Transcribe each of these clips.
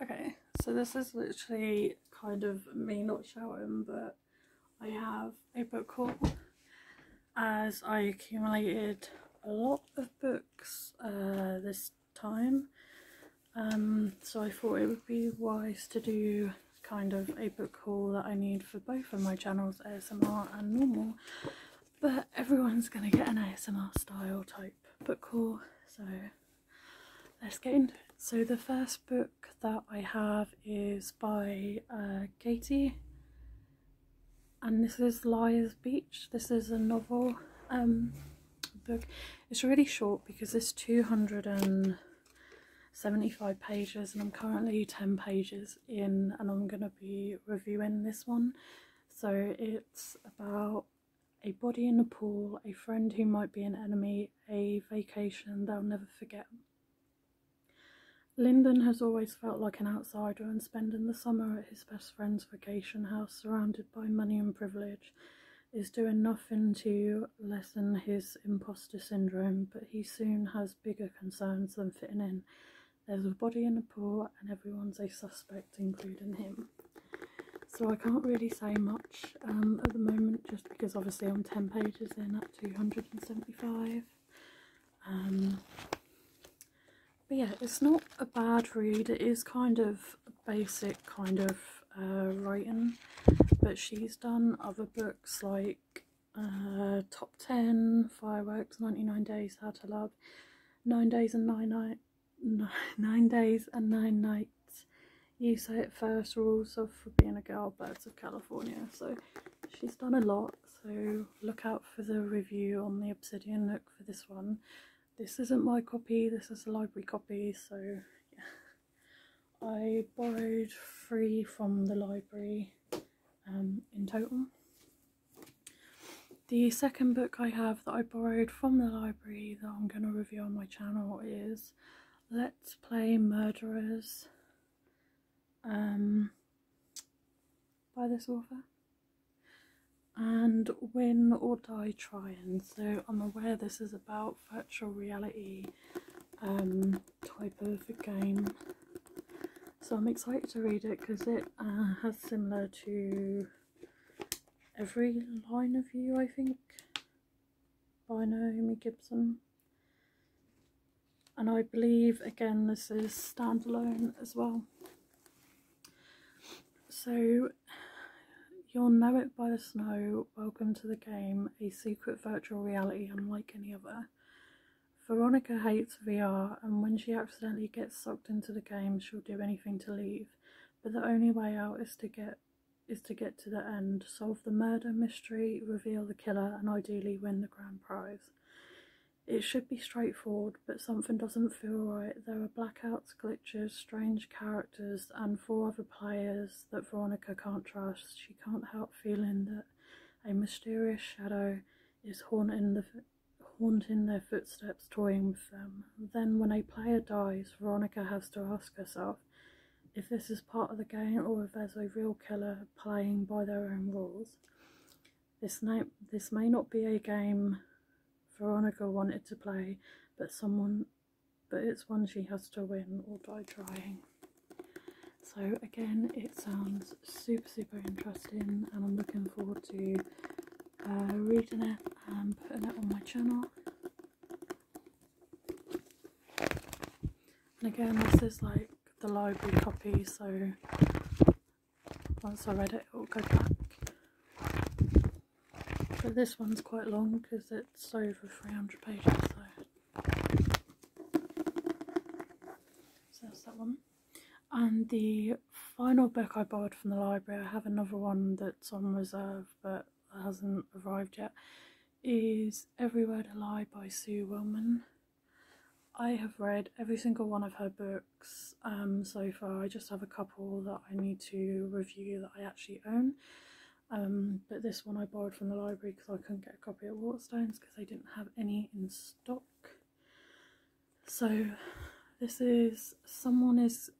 Okay, so this is literally kind of me not showing, but I have a book haul as I accumulated a lot of books uh, this time. Um, so I thought it would be wise to do kind of a book haul that I need for both of my channels, ASMR and normal. But everyone's going to get an ASMR style type book haul so let's get into it so the first book that i have is by uh, katie and this is liar's beach this is a novel um, book it's really short because it's 275 pages and i'm currently 10 pages in and i'm gonna be reviewing this one so it's about a body in a pool, a friend who might be an enemy, a vacation they'll never forget. Lyndon has always felt like an outsider and spending the summer at his best friend's vacation house surrounded by money and privilege is doing nothing to lessen his imposter syndrome, but he soon has bigger concerns than fitting in there's a body in the pool, and everyone's a suspect, including him. So I can't really say much um, at the moment, just because obviously I'm 10 pages in at 275. Um, but yeah, it's not a bad read. It is kind of basic kind of uh, writing, but she's done other books like uh, Top 10, Fireworks, 99 Days, How to Love, 9 Days and 9 Nights, nine days and nine nights. You say it first rules of being a girl, Birds of California. So she's done a lot. So look out for the review on the Obsidian Look for this one. This isn't my copy. This is a library copy. So I borrowed three from the library um, in total. The second book I have that I borrowed from the library that I'm going to review on my channel is Let's Play Murderers um, by this author and Win or Die Trying. So I'm aware this is about virtual reality um, type of game. So I'm excited to read it because it uh, has similar to every line of you, I think, by Naomi Gibson. And I believe, again, this is standalone as well. So, you'll know it by the snow, welcome to the game, a secret virtual reality unlike any other. Veronica hates VR and when she accidentally gets sucked into the game, she'll do anything to leave. But the only way out is to get is to get to the end, solve the murder mystery, reveal the killer, and ideally win the grand prize. It should be straightforward, but something doesn't feel right. There are blackouts, glitches, strange characters, and four other players that Veronica can't trust. She can't help feeling that a mysterious shadow is haunting the Haunting their footsteps, toying with them. Then, when a player dies, Veronica has to ask herself if this is part of the game or if there's a real killer playing by their own rules. This, na- this may not be a game Veronica wanted to play, but someone but it's one she has to win or die trying. So again, it sounds super, super interesting and I'm looking forward to uh, reading it and putting it on my channel. And again, this is like the library copy, so once I read it, it'll go back. But this one's quite long because it's over 300 pages, So that's that one and the final book I borrowed from the library, I have another one that's on reserve but hasn't arrived yet, is Every Word a Lie by Sue Wilman. I have read every single one of her books um, so far. I just have a couple that I need to review that I actually own. Um, but this one I borrowed from the library because I couldn't get a copy at Waterstones because they didn't have any in stock. So this is someone is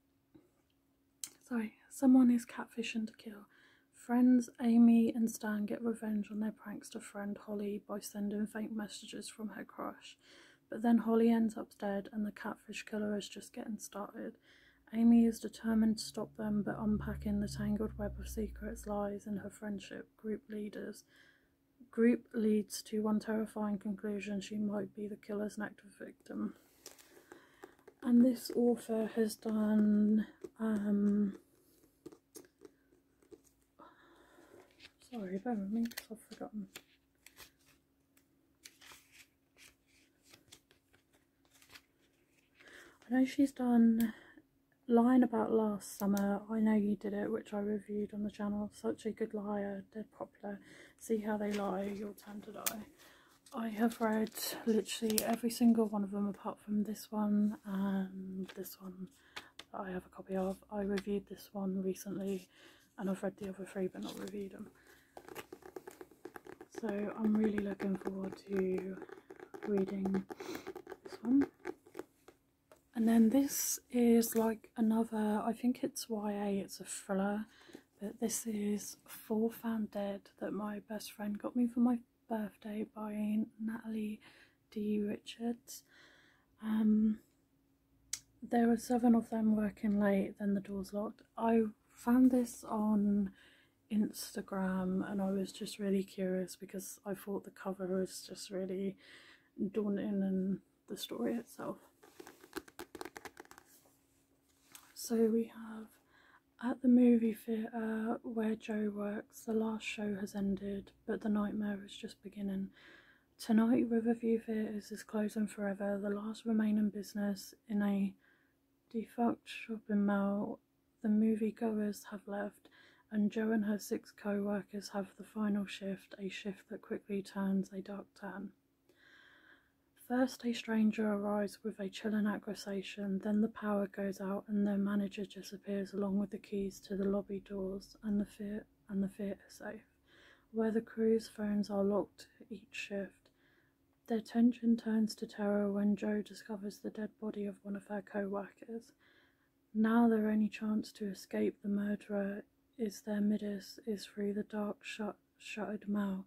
sorry, someone is catfishing to kill. Friends Amy and Stan get revenge on their prankster friend Holly by sending fake messages from her crush. But then Holly ends up dead and the catfish killer is just getting started. Amy is determined to stop them but unpacking the tangled web of secrets, lies in her friendship, group leaders Group leads to one terrifying conclusion she might be the killer's next victim. And this author has done. Um, sorry, bear with me because I've forgotten. I know she's done Lying About Last Summer, I Know You Did It, which I reviewed on the channel, Such a Good Liar, Dead Pop See how they lie, you'll tend to lie. I have read literally every single one of them apart from this one and this one I have a copy of. I reviewed this one recently and I've read the other three but not reviewed them. So I'm really looking forward to reading this one. And then this is like another, I think it's YA, it's a thriller, but this is Four Found Dead that my best friend got me for my birthday by Natalie D. Richards. Um, there were seven of them working late, then the doors locked. I found this on Instagram and I was just really curious because I thought the cover was just really daunting and the story itself. So we have at the movie theatre where Joe works, the last show has ended, but the nightmare is just beginning. Tonight, Riverview Theatres is closing forever, the last remaining business in a defunct shopping mall. The moviegoers have left, and Joe and her six co workers have the final shift, a shift that quickly turns a dark turn. First, a stranger arrives with a chilling accusation, then the power goes out and the manager disappears along with the keys to the lobby doors and the theatre and the theatre safe, where the crew's phones are locked each shift. Their tension turns to terror when Joe discovers the dead body of one of her co-workers. Now their only chance to escape the murderer is their midas is through the dark shut, shuttered mall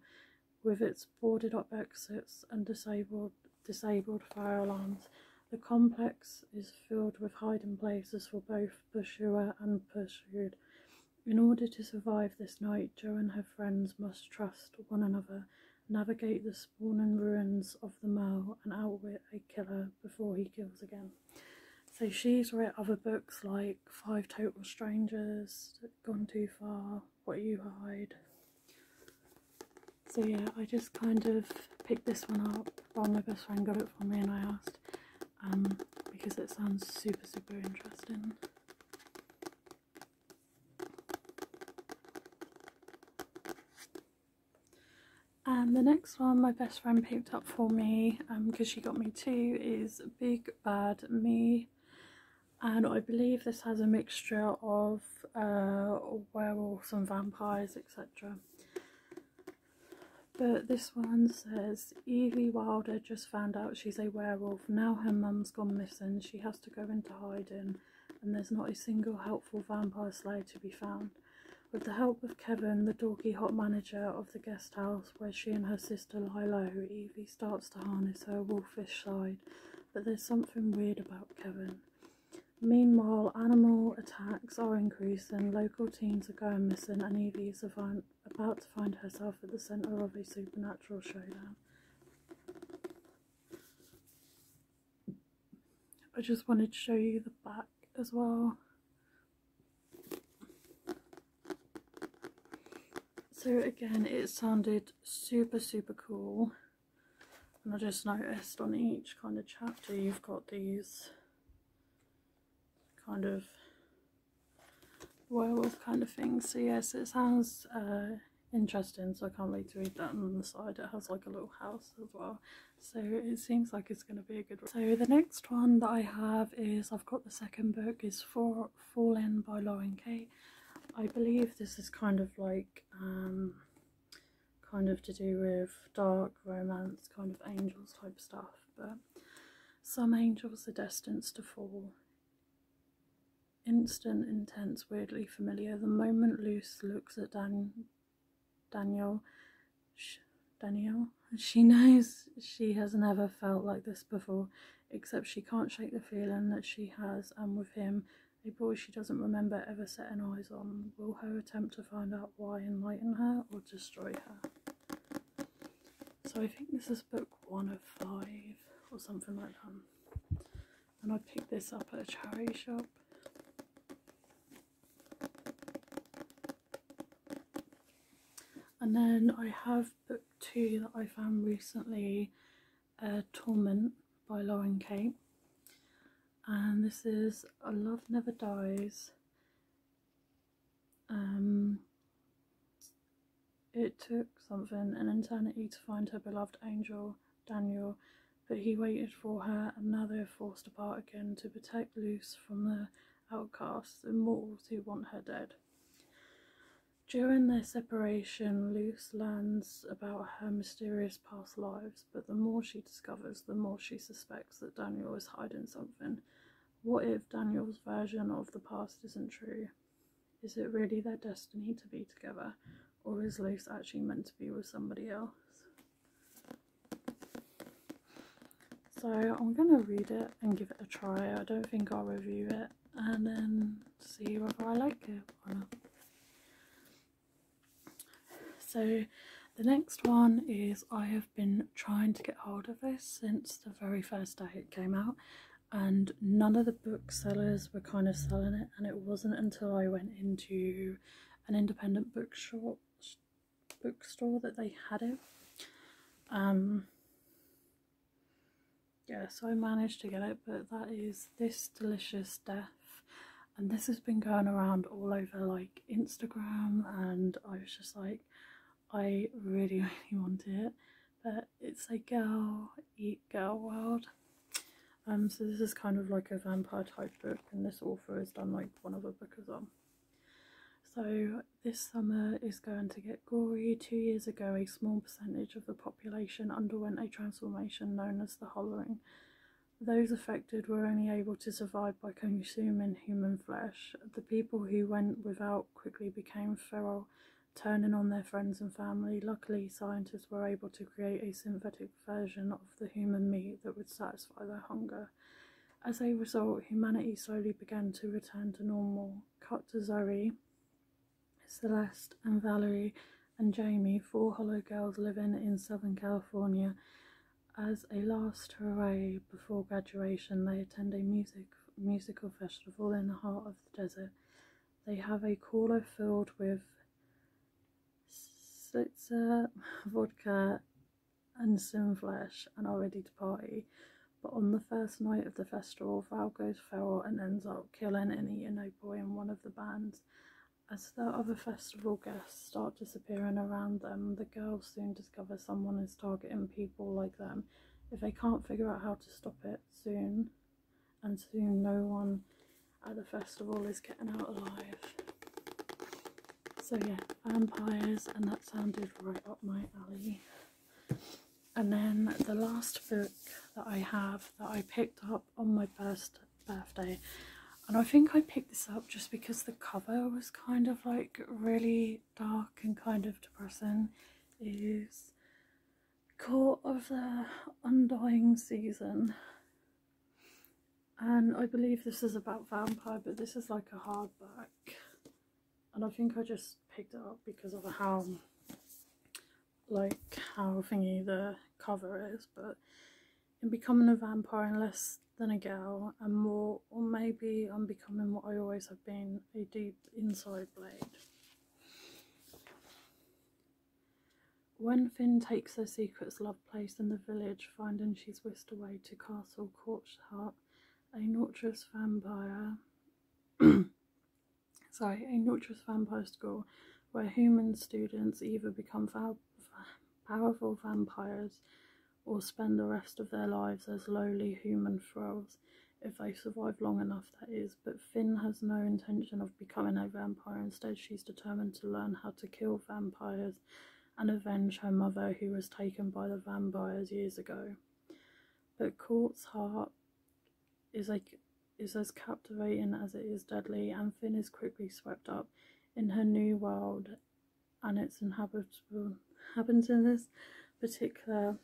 with its boarded up exits and disabled, disabled fire alarms. The complex is filled with hiding places for both pursuer and pursued. In order to survive this night, Joe and her friends must trust one another, navigate the spawning ruins of the mall, and outwit a killer before he kills again. So she's read other books like Five Total Strangers, Gone Too Far, What You Hide. So yeah, I just kind of picked this one up. Well, my best friend got it for me and I asked um, because it sounds super, super interesting. And the next one my best friend picked up for me because um, she got me two is. Big Bad Me and I believe this has a mixture of uh, werewolves and vampires etc. But this one says Evie Wilder just found out she's a werewolf. Now her mum's gone missing. She has to go into hiding and there's not a single helpful vampire slayer to be found. With the help of Kevin, the dorky hot manager of the guest house where she and her sister sister Lilo Evie starts to harness her wolfish side, but there's something weird about Kevin. Meanwhile, animal attacks are increasing, local teens are going missing, and Evie is about to find herself at the centre of a supernatural showdown. I just wanted to show you the back as well. So again, it sounded super, super cool. And I just noticed on each kind of chapter, you've got these kind of werewolf kind of things. So yes, it sounds uh, interesting. So I can't wait to read that. And on the side, it has like a little house as well. So it seems like going to be a good one. So the next one that I have is, I've got the second book, is For Fall In by Lauren K. I believe this is kind of like, um, kind of to do with dark romance, kind of angels type stuff. But some angels are destined to fall. Instant, intense, weirdly familiar. The moment Luce looks at Daniel, Danielle. She knows she has never felt like this before, except she can't shake the feeling that she has, and with him, a boy she doesn't remember ever setting eyes on. Will her attempt to find out why enlighten her or destroy her? So I think this is book one of five or something like that. And I picked this up at a charity shop. And then I have book two that I found recently, uh, Torment by Lauren Kate. And this is Love Never Dies. Um, it took something, an eternity to find her beloved angel, Daniel, but he waited for her and now they're forced apart again to protect Luce from the outcasts and wolves who want her dead. During their separation, Luce learns about her mysterious past lives, but the more she discovers, the more she suspects that Daniel is hiding something. What if Daniel's version of the past isn't true? Is it really their destiny to be together, or is Luce actually meant to be with somebody else? So I'm going to read it and give it a try. I don't think I'll review it and then see whether I like it or not. So the next one is I have been trying to get hold of this since the very first day it came out and none of the booksellers were kind of selling it and it wasn't until I went into an independent bookshop bookstore that they had it. Um, yeah, so I managed to get it, but that is This Delicious Death. And this has been going around all over like Instagram and I was just like, I really, really want it. But it's a girl, eat girl world. Um, so this is kind of like a vampire type book and this author has done like one other book as well. So this summer is going to get gory. Two years ago, a small percentage of the population underwent a transformation known as the hollowing. Those affected were only able to survive by consuming human flesh. The people who went without quickly became feral, turning on their friends and family. Luckily, scientists were able to create a synthetic version of the human meat that would satisfy their hunger. As a result, humanity slowly began to return to normal. Cut to Zoe, Celeste, and Valerie and Jamie, four hollow girls living in Southern California. As a last hurrah before graduation, they attend a music musical festival in the heart of the desert. They have a cooler filled with slitzer, vodka, and Sinflesh and are ready to party, but on the first night of the festival, Val goes and ends up killing and eating boy in one of the bands. As the other festival guests start disappearing around them, the girls soon discover someone is targeting people like them. If they can't figure out how to stop it soon, and soon no one at the festival is getting out alive. So yeah, vampires, and that sounded right up my alley. And then the last book that I have that I picked up on my first birthday, and I think I picked this up just because the cover was kind of like really dark and kind of depressing, is Court of the Undying Season. And I believe this is about vampire, but this is like a hardback and I think I just picked it up because of how like how thingy the cover is but in becoming a vampire and less than a girl and more or maybe I'm becoming what I always have been a deep inside blade When Finn takes her secret's love place in the village, finding she's whisked away to Castle Court's heart a notorious vampire. sorry, a notorious vampire school where human students either become powerful vampires or spend the rest of their lives as lowly human thralls if they survive long enough, that is. But Finn has no intention of becoming a vampire. Instead, she's determined to learn how to kill vampires and avenge her mother, who was taken by the vampires years ago. But Court's heart is like is as captivating as it is deadly, and Finn is quickly swept up in her new world and its Happens in this particular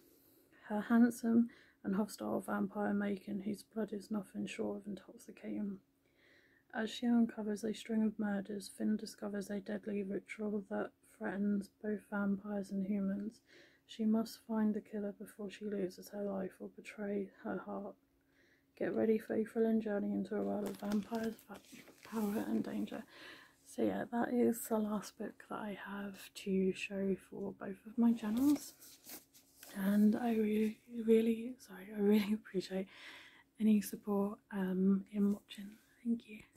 her handsome and hostile vampire Macon, whose blood is nothing short of intoxicating. As she uncovers a string of murders, Finn discovers a deadly ritual that threatens both vampires and humans. She must find the killer before she loses her life or betray her heart. Get ready for a thrilling journey into a world of vampires, power, and danger. So, yeah, that is the last book that I have to show for both of my channels. And I really, really, sorry, I really appreciate any support um, in watching. Thank you.